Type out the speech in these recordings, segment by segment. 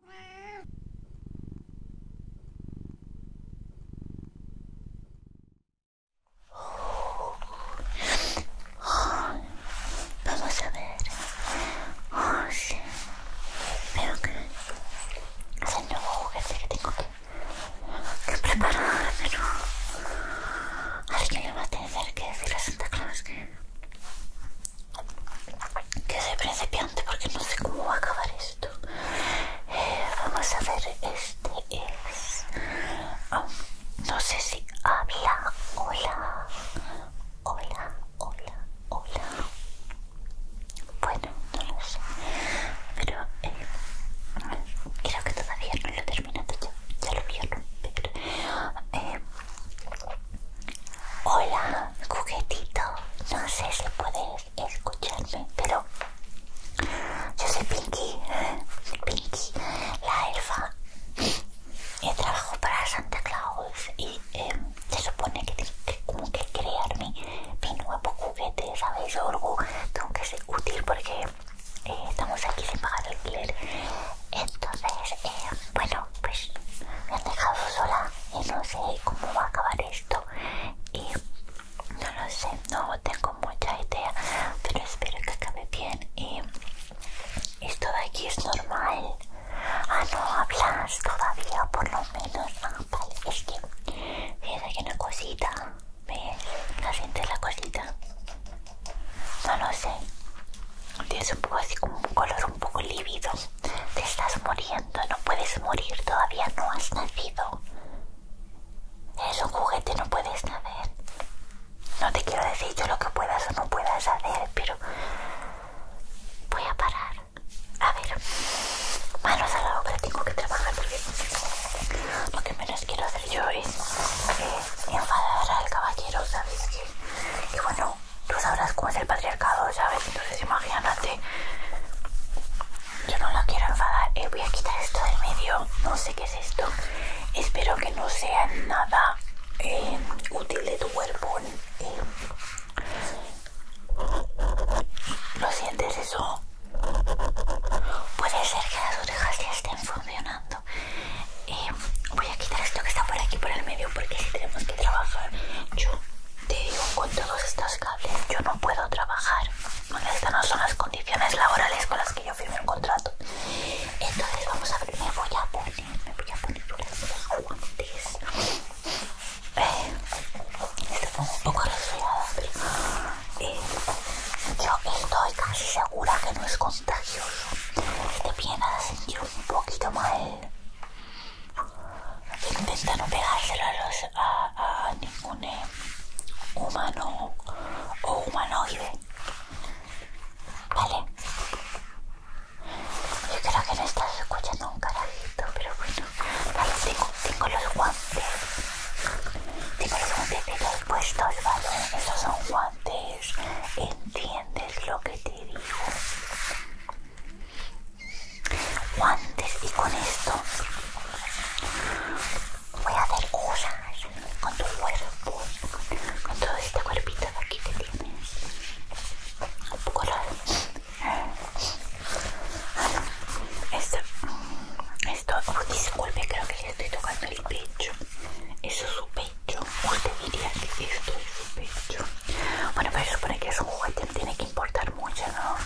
vamos a ver. Oh, sí. Veo que es el nuevo juguete que tengo que, prepararme. pero alguien le va a tener que decir a Santa Claus que que soy principiante porque no sé cómo va a acabar esto eh, vamos a ver este es um, no sé si habla hola hola hola hola bueno no lo sé pero eh, creo que todavía no lo he terminado ya, ya lo vieron pero eh, Hola, juguetito. No sé si puedes escucharme, pero yo soy Pinky. Pinky, la elfa. Y eh, trabajo para Santa Claus y em, se supone que tengo que, crear mi, nuevo juguete, ¿sabes? tengo que ser útil porque eh, estamos aquí sin pagar alquiler. Entonces, eh, bueno, pues me han dejado sola y no sé cómo va a acabar esto y no lo sé, no tengo mucha idea, pero espero que acabe bien y esto de aquí es normal. Ah, no hablas todavía, por lo menos. Ah, vale, es que fíjate que una cosita, ¿ves? ¿La sientes la cosita? No lo sé. Tienes un poco así como un color un poco lívido te estás muriendo, no puedes morir, todavía no has nacido. Eres un juguete, no puedes nacer. No te quiero decir yo lo que puedas o no puedas hacer, pero voy a parar. A ver, manos a la obra, tengo que trabajar porque lo que menos quiero hacer yo es eh, enfadar al caballero, ¿sabes? Que, y bueno, tú sabrás cómo es el patriarcado, ¿sabes? Entonces imagínate. Yo no la quiero enfadar. Eh, voy a quitar esto del medio. No sé qué es esto. Espero que no sea nada eh, útil de tu cuerpo. Eh. ¿Lo sientes eso? Puede ser que las orejas ya estén funcionando. voy a quitar esto que está por aquí por el medio porque si tenemos que trabajar yo te digo, con todos estos cables yo no puedo trabajar. Estas no son las condiciones laborales con las que yo firmé un contrato. Entonces vamos a ver, me voy a poner, me voy a poner los guantes. Eh, un poco resfriada, pero eh, yo estoy casi segura que no es contagioso. Te este viene a sentir un poquito mal. Intenta no pegárselo a, a, ningún eh, humano o humanoide. Vale. Yo creo que no estás escuchando un carajito, pero bueno. Vale, tengo, tengo los guantes. Tengo los guantes los puestos, ¿vale? Esos son guantes. ¿Entiendes lo que te digo? guantes y con esto voy a hacer cosas con tu cuerpo, con todo este cuerpito de aquí que tienes. Un poco Esto, esto oh, disculpe, creo que le estoy tocando el pecho. Eso es su pecho. Usted diría que esto es su pecho. Bueno, pero se supone que es un juguete, no tiene que importar mucho, ¿no?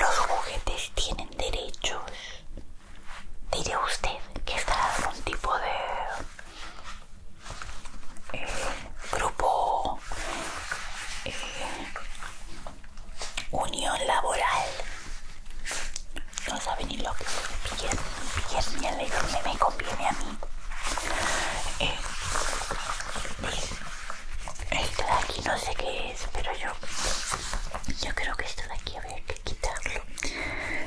Los juguetes tienen derechos. Diré usted que está algún tipo de eh, grupo, eh, unión laboral. No sabe ni lo que bien, bien, bien, me conviene a mí. Eh, esto de aquí no sé qué es, pero yo, creo que esto de aquí habría que quitarlo.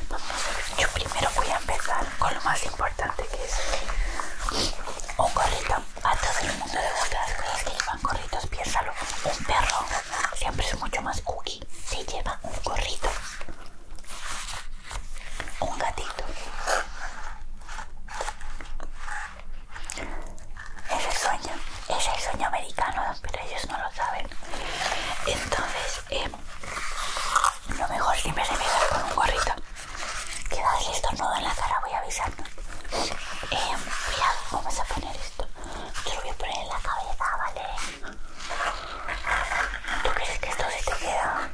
Vamos a ver, yo primero voy a empezar con lo más importante que es un gorrito. A todo el mundo le gustan las que llevan gorritos, piénsalo. Un perro siempre es mucho más cookie si lleva un gorrito un gatito. Es el sueño, es el sueño americano, pero ellos no lo saben. Entonces, eh, lo mejor siempre me dar con un gorrito. queda estornudo en la cara, voy avisando. Eh, mira, vamos a poner esto. lo voy a poner en la cabeza, ¿vale? ¿Tú crees que esto se te queda?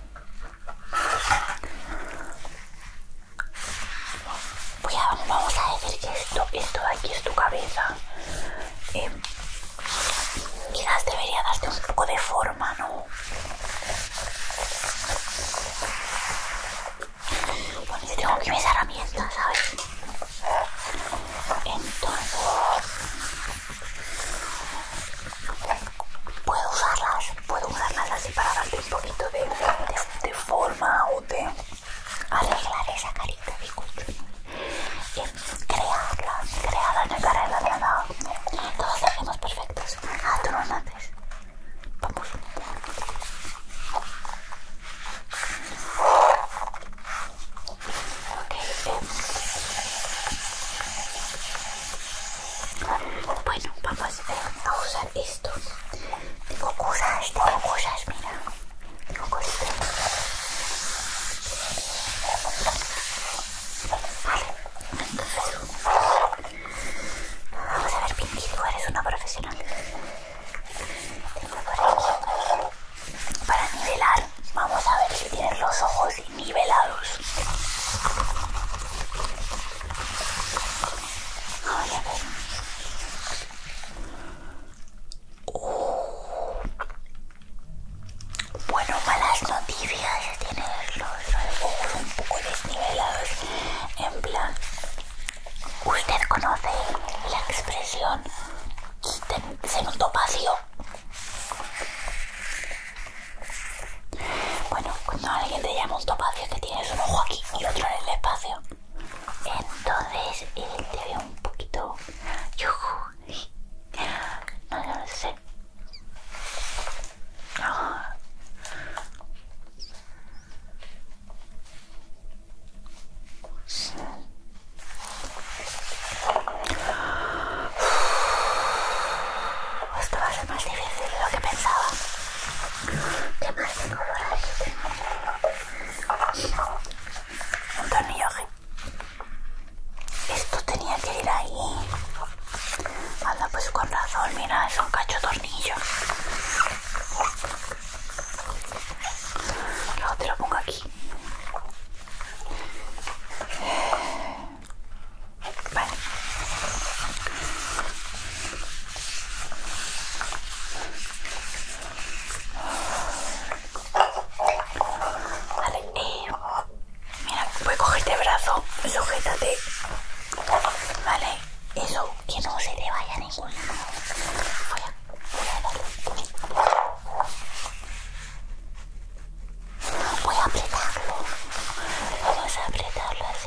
Voy a, vamos a decir que esto, esto de aquí es tu cabeza. Eh, quizás debería darte un poco de forma, ¿no? Bueno, yo tengo que mis herramientas, ¿sabes? Entonces, puedo usarlas, puedo usarlas así para darte un poquito de, de, forma o de arreglar esa carita de colchón crearla, crearla en el carrera de nada todos hacemos perfectos ah, tú no mates. vamos ok em. Bueno, vamos eh, a usar esto. Tengo cosas, tengo cosas, mira. Tengo cosas. Vale, entonces vamos a ver, Pinky, tú eres una profesional. para nivelar. Vamos a ver si tienes los ojos nivelados. Bueno, malas noticias. Tienes los ojos un poco desnivelados. En plan, usted conoce la expresión. Se notó vacío. Bueno, cuando alguien te llama un topacio que tienes un ojo aquí y otro en el espacio. Entonces él eh, te ve un poquito... No lo sé. Esto va a ser más difícil de lo que pensaba. ¿Qué más tengo por Un tornillaje. Esto tenía que ir ahí. Anda, pues con razón, mira, es un cacho tornillo. Luego te lo pongo aquí. Vale. Vale, mira, voy a cogerte el brazo, sujétate. Vale, eso, que no se te vaya a ningún Voy a, Voy a apretarlo. Vamos a apretarlo así.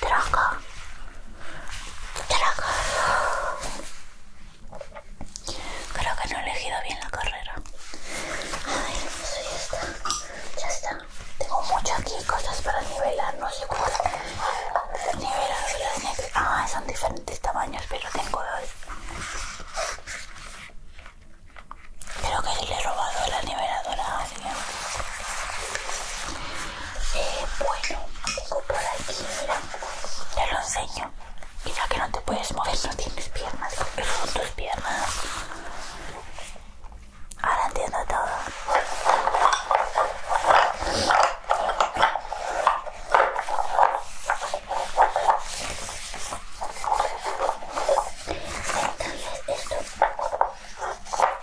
Traca. Traca. Creo que no he elegido bien la carrera. A no eso ya está. Ya está. Tengo mucho aquí cosas para nivelar. No sé cómo niveladoras Ah, son diferentes tamaños, pero tengo dos. Creo que le he robado la niveladora bueno, tengo por aquí, mira, te lo enseño. Mira que no te puedes mover, no tienes piernas, porque son tus piernas. Ahora entiendo todo. Entonces esto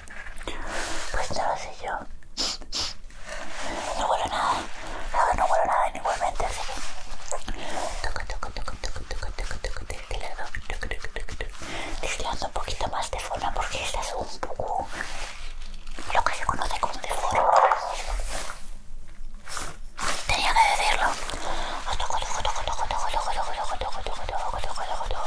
Pues no sé yo. No huelo nada. no huelo nada igualmente, así que... toca, toca, toca, toca, toca, toca, toca, un poquito más de forma porque esta es un poco... Lo que se conoce como de forma. Tenía que decirlo.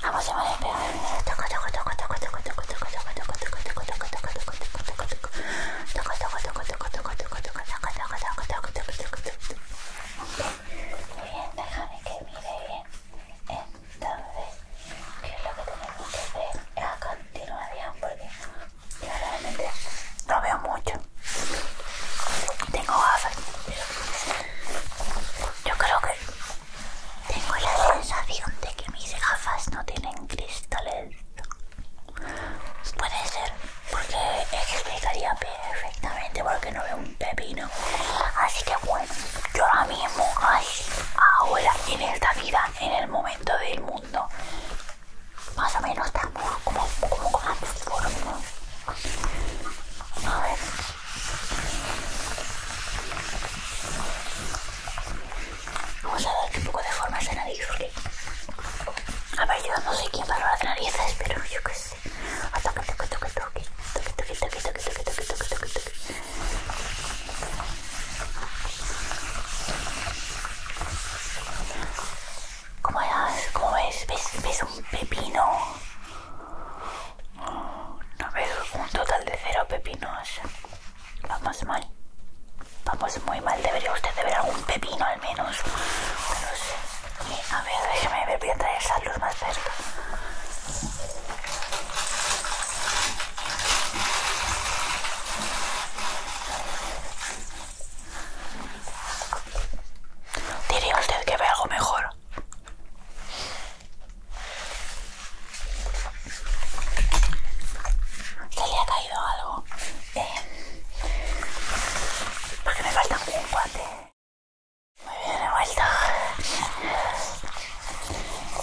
Vamos a ver, bien, déjame que mire bien. Entonces, ¿qué es lo que tenemos que hacer a continuación? Porque realmente no veo mucho. Tengo gafas. Yo creo que tengo la sensación de que mis gafas no tienen cristales. Puede ser, porque explicaría perfectamente porque no veo un pepino. Así que bueno, yo ahora mismo, así, ahora, en esta vida, en el momento del mundo, más o menos estamos como, como, A ver. Vamos a darle un poco de forma a esa nariz A ver, yo no sé quién paró las narices, pero yo qué sé. Toque, toque, toque, toque. Toque, toque, toque, toque, toque, toque, toque, toque, toque. ¿Cómo, ¿Cómo ves? ¿Ves? ¿Ves un pepino? No veo un total de cero pepinos. Vamos mal. Vamos muy mal. Debería usted de ver algún pepino al menos. No a ver, déjeme ver. Voy a traer esa luz más cerca. Diría usted que ve algo mejor. Se le ha caído algo. Eh, qué me falta un guante. Muy bien, he vuelto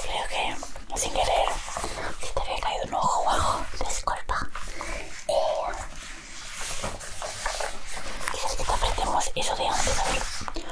Creo que sin querer se te había caído un ojo abajo. Disculpa. Eh, que te apretemos eso de antes.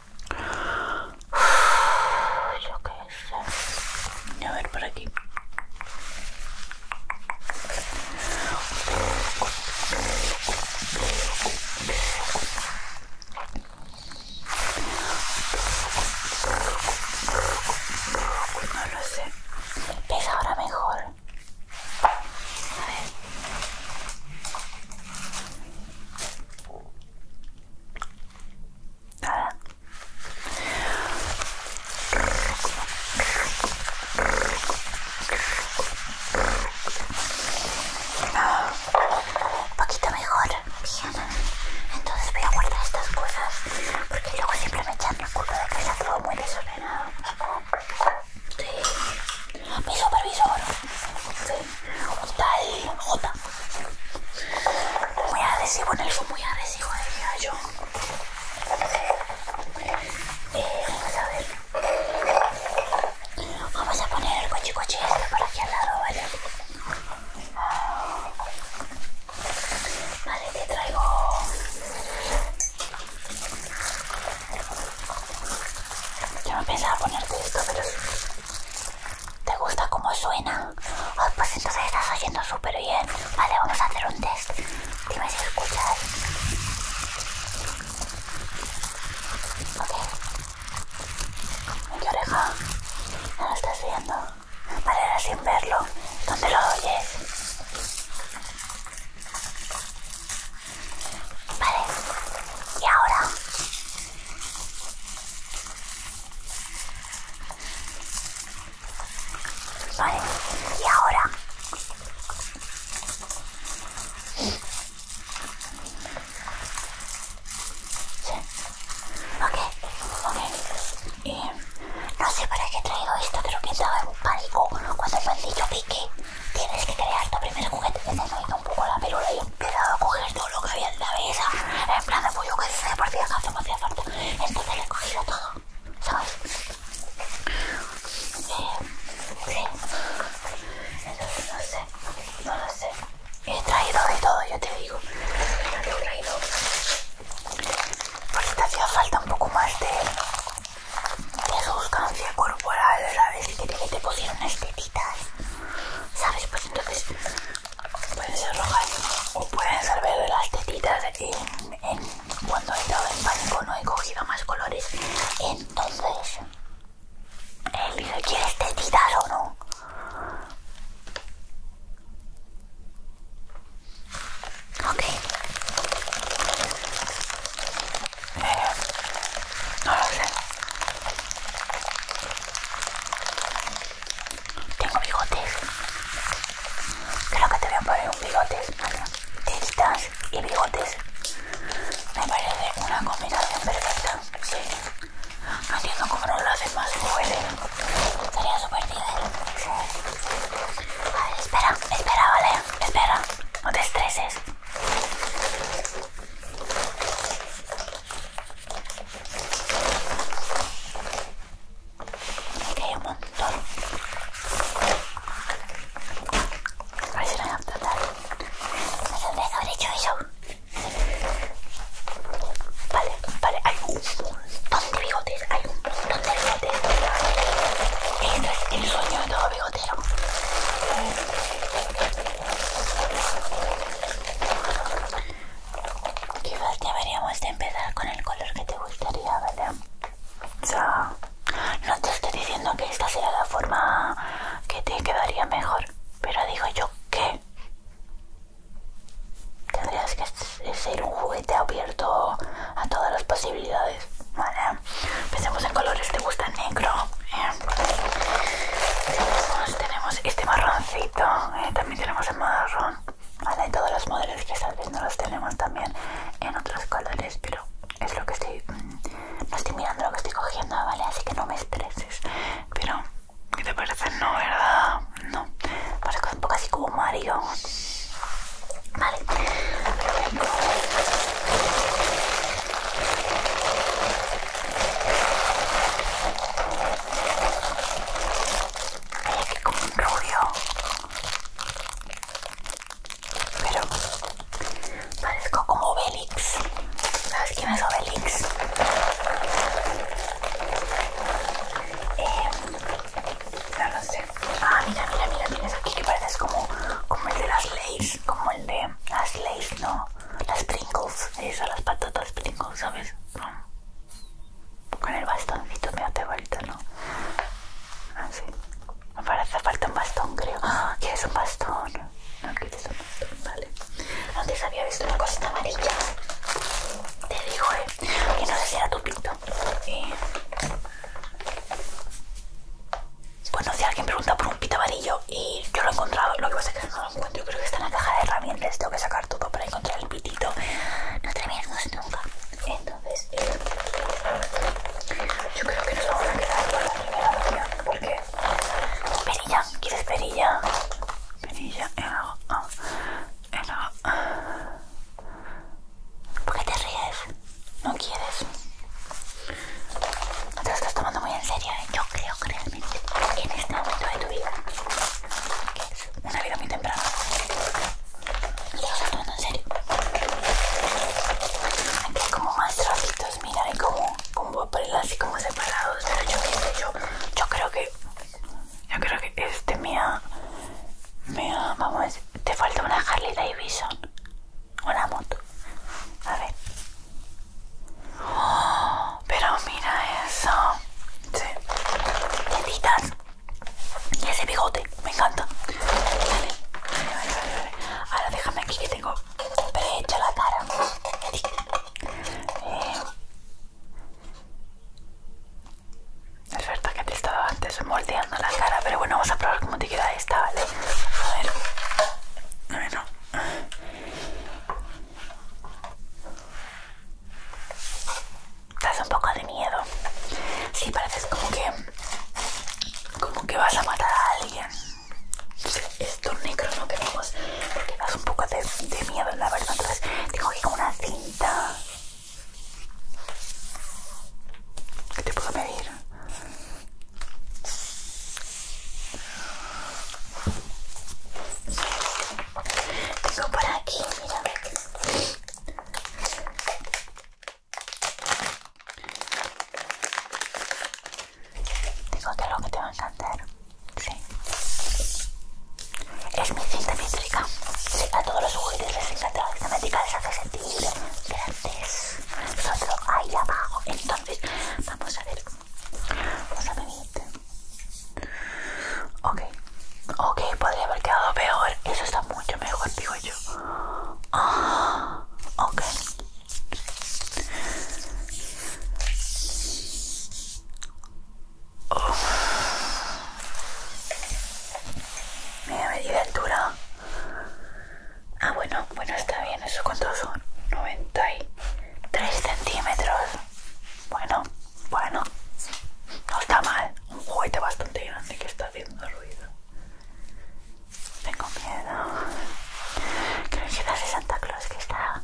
Yo qué sé. A ver por aquí. No lo sé. es ahora mejor? Nada. Un poquito mejor. Bien. Entonces voy a guardar estas cosas porque luego siempre me echan el culo de que está todo muy desordenado. Mi supervisor, sí, tal J. Muy agresivo en muy agresivo, diría yo. Eh, vamos a ver. Vamos a poner el coche coche este por aquí al lado, ¿vale? Vale, te traigo. Yo no pensaba ponerte esto, pero ¿Te gusta cómo suena? pues entonces estás oyendo súper bien. Vale, vamos a hacer un test. Dime si escuchas. Ok. Mi oreja. No lo estás viendo. Vale, ahora sin verlo. ¿Dónde lo oyes? Vale. Y ahora Vale, y ahora Sí. Ok, ok. no sé para qué he traído esto, creo que estaba en pánico cuando el han pique. Tienes que crear tu primer juguete. Me un poco la pelura pero a coger todo lo que había en la mesa, en plan de pollo pues que se por que me hacía falta. Entonces lo he cogido todo, ¿sabes? Eh, sí. Entonces no sé, no lo sé. He traído de todo, yo te digo. te he traído. Porque te hacía falta un poco más de, de sustancia corporal, ¿sabes? Y que te pusieron estetitas. ¿sabes? Pues entonces pueden ser rojas o pueden ser verdes las tetitas. En, cuando he estado en pánico no he cogido más colores. Entonces, él dice, ¿quieres tetitas o no? Ok. Eh, no lo sé. Tengo bigotes. Creo que te voy a poner un bigotes. Tintas y bigotes. Me parece una combinación perfecta. Sí. No entiendo cómo no lo hacen más fuerte. Sería súper divertido. A espera, espera, vale. Espera. No te estreses. Aquí hay un montón. A ver si me voy a explotar. haber hecho eso. Vale, vale, hay un montón de bigotes. Hay un montón de bigotes. Este es el sueño de todo bigotero. Quizás deberíamos de empezar con el color que te gustaría, ¿vale? O sea, no te estoy diciendo que esta sea la forma que te quedaría mejor, pero digo yo que tendrías que ser un juguete abierto a todas las posibilidades, ¿vale? Empecemos en colores, ¿te gusta negro? tenemos este marroncito eh, también tenemos el marrón vale Hay todos los modelos que estás no los tenemos también en otros colores pero es lo que estoy mm, no estoy mirando lo que estoy cogiendo vale así que no me estreses pero ¿qué te parece? no verdad no parece un poco así como Mario vale Mira que como un rubio. Pero parezco como Obelix. ¿Sabes quién es Obelix? Eh, no lo sé. Ah, mira, mira, mira, tienes aquí que pareces como, como el de las leyes, como el de las leyes, ¿no? las sprinkles esas las patatas sprinkles ¿sabes? Con el bastoncito me hace falta, ¿no? Así. Ah, sí. me hace falta un bastón, creo. ¡Ah! ¿Quieres un bastón? No quieres un bastón, vale. Antes había visto una cosita amarilla. Te digo, eh. Que no sé si era tu pito. Bueno, si alguien pregunta por un pito amarillo, y yo lo he encontrado, lo que pasa es que no lo encuentro, yo creo que está en la caja de herramientas, tengo que sacar todo para encontrar el pitito, no terminamos nunca. Entonces, eh, yo creo que nos vamos a quedar Por la primera opción, porque perilla, ¿quieres perilla? Perilla, en agua en ¿Por qué te ríes? ¿No quieres? No te lo estás tomando muy en serio, ¿eh? yo creo, creo en este momento de tu vida, es una vida muy temprana. Yo lo estoy en serio. Aquí hay como más trocitos mira, hay como, como así como separados, pero yo, yo, yo creo que, yo creo que este mía, mía, vamos, a te falta una Harley Davidson, una moto, a ver, pero mira eso. Sí. Y ese bigote. Me encanta. Vale. Ahora déjame aquí que tengo prehecha la cara. Eh, es verdad que te estaba antes moldeando la cara, pero bueno, vamos a probar cómo te queda esta, ¿vale? A ver. A ver, te hace un poco de miedo. Sí, pareces como que. como que vas a matar a alguien. Estos esto negro no queremos. Porque das un poco de, miedo, la verdad. Entonces, tengo aquí una cinta. ¿Qué te puedo medir? Tengo por aquí, mira. Digo que lo que te va a encantar. Sí. Es mi cinta métrica. Sí, a todos los juguetes, les encanta la cinta métrica, les hace sentir grandes. Nosotros ahí abajo. Entonces, vamos a ver. Este. Ok, ok, podría haber quedado peor. Eso está mucho mejor, digo yo. Ah, ok. medida de altura. Ah, bueno, bueno, está bien. Eso cuántos son 93 centímetros. Bueno, bueno, no está mal. Un juguete bastante grande que está haciendo ruido. Tengo miedo. Creo que es Santa Claus que está,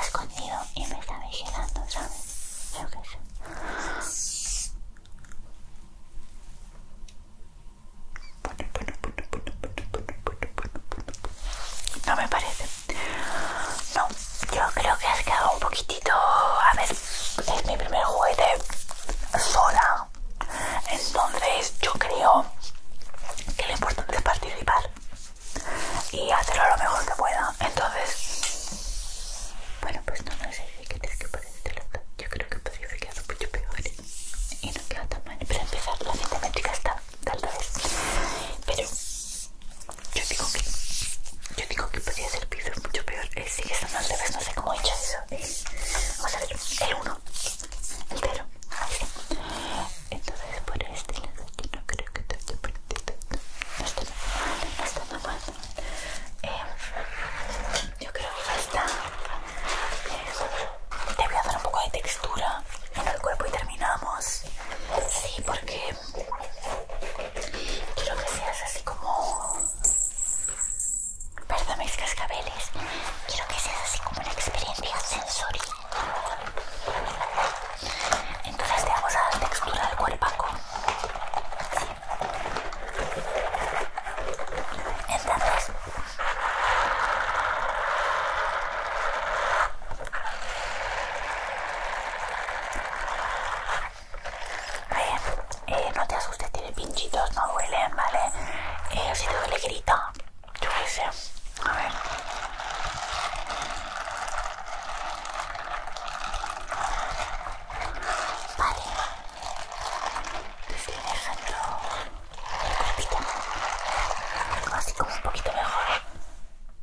escondido y me está vigilando, ¿sabes? Creo que No me parece no, yo creo que has quedado un poquitito... A ver, es mi primer juguete sola. Entonces yo creo que lo importante es participar y hacerlo lo mejor que pueda. Entonces, bueno, pues no, no sé si quieres que parezca este Yo creo que podría haber quedado mucho peor ¿eh? y no queda tan mal. Para empezar, la cinta métrica está tal vez. Pero yo digo que yo digo que podría ser piso mucho peor. es eh, sigue estando al revés, no sé cómo he hecho eso. vamos a ver, el 1, el 0. Entonces por este lado yo no creo que te haya perdido No está mal, no está nada mal. Eh, yo creo que ya está. te voy a dar un poco de textura en el cuerpo y terminamos. Sí, porque quiero que seas así como... Perdón mis cascabeles. Quiero que seas así como una experiencia sensorial. Entonces te vamos a dar textura del cuerpaco. Sí. Entonces... A eh, no te asustes, tiene pinchitos, no duelen, ¿vale? Eh, si te duele, grito Yo qué sé. A ver. Vale. Estoy dejando el Así como un poquito mejor.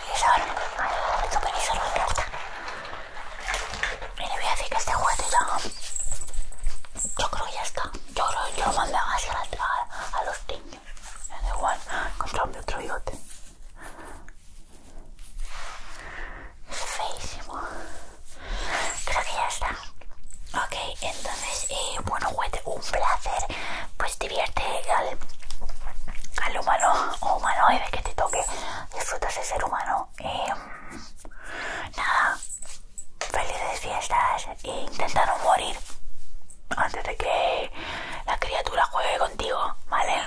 supervisor, el supervisor me encanta. Y le voy a decir que este juguete ya, yo creo que ya está. Yo creo que yo lo mandé hacia a, los niños. Me da igual, comprarme otro bigote. Es feísimo. Creo que ya está. Ok, entonces, eh, bueno, juguete, un placer. Pues divierte al, o humano y ve que te toque, disfrutas de ser humano. Em, nada, felices fiestas e intenta no morir antes de que la criatura juegue contigo, ¿vale?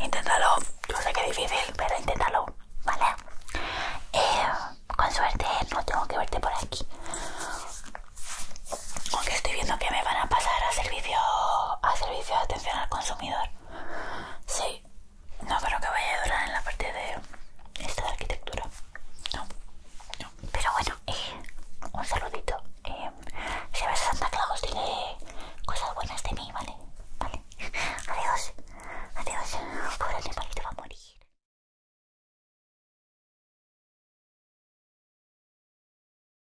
Inténtalo, yo sé que es difícil, pero inténtalo, ¿vale? Em, con suerte no tengo que verte por aquí aunque estoy viendo que me van a pasar a servicio a servicio de atención al consumidor sí no creo que vaya a durar en la parte de esta arquitectura no, no. pero bueno eh, un saludito eh, si ves a Santa Claus tiene cosas buenas de mí vale vale adiós adiós pobre te va a morir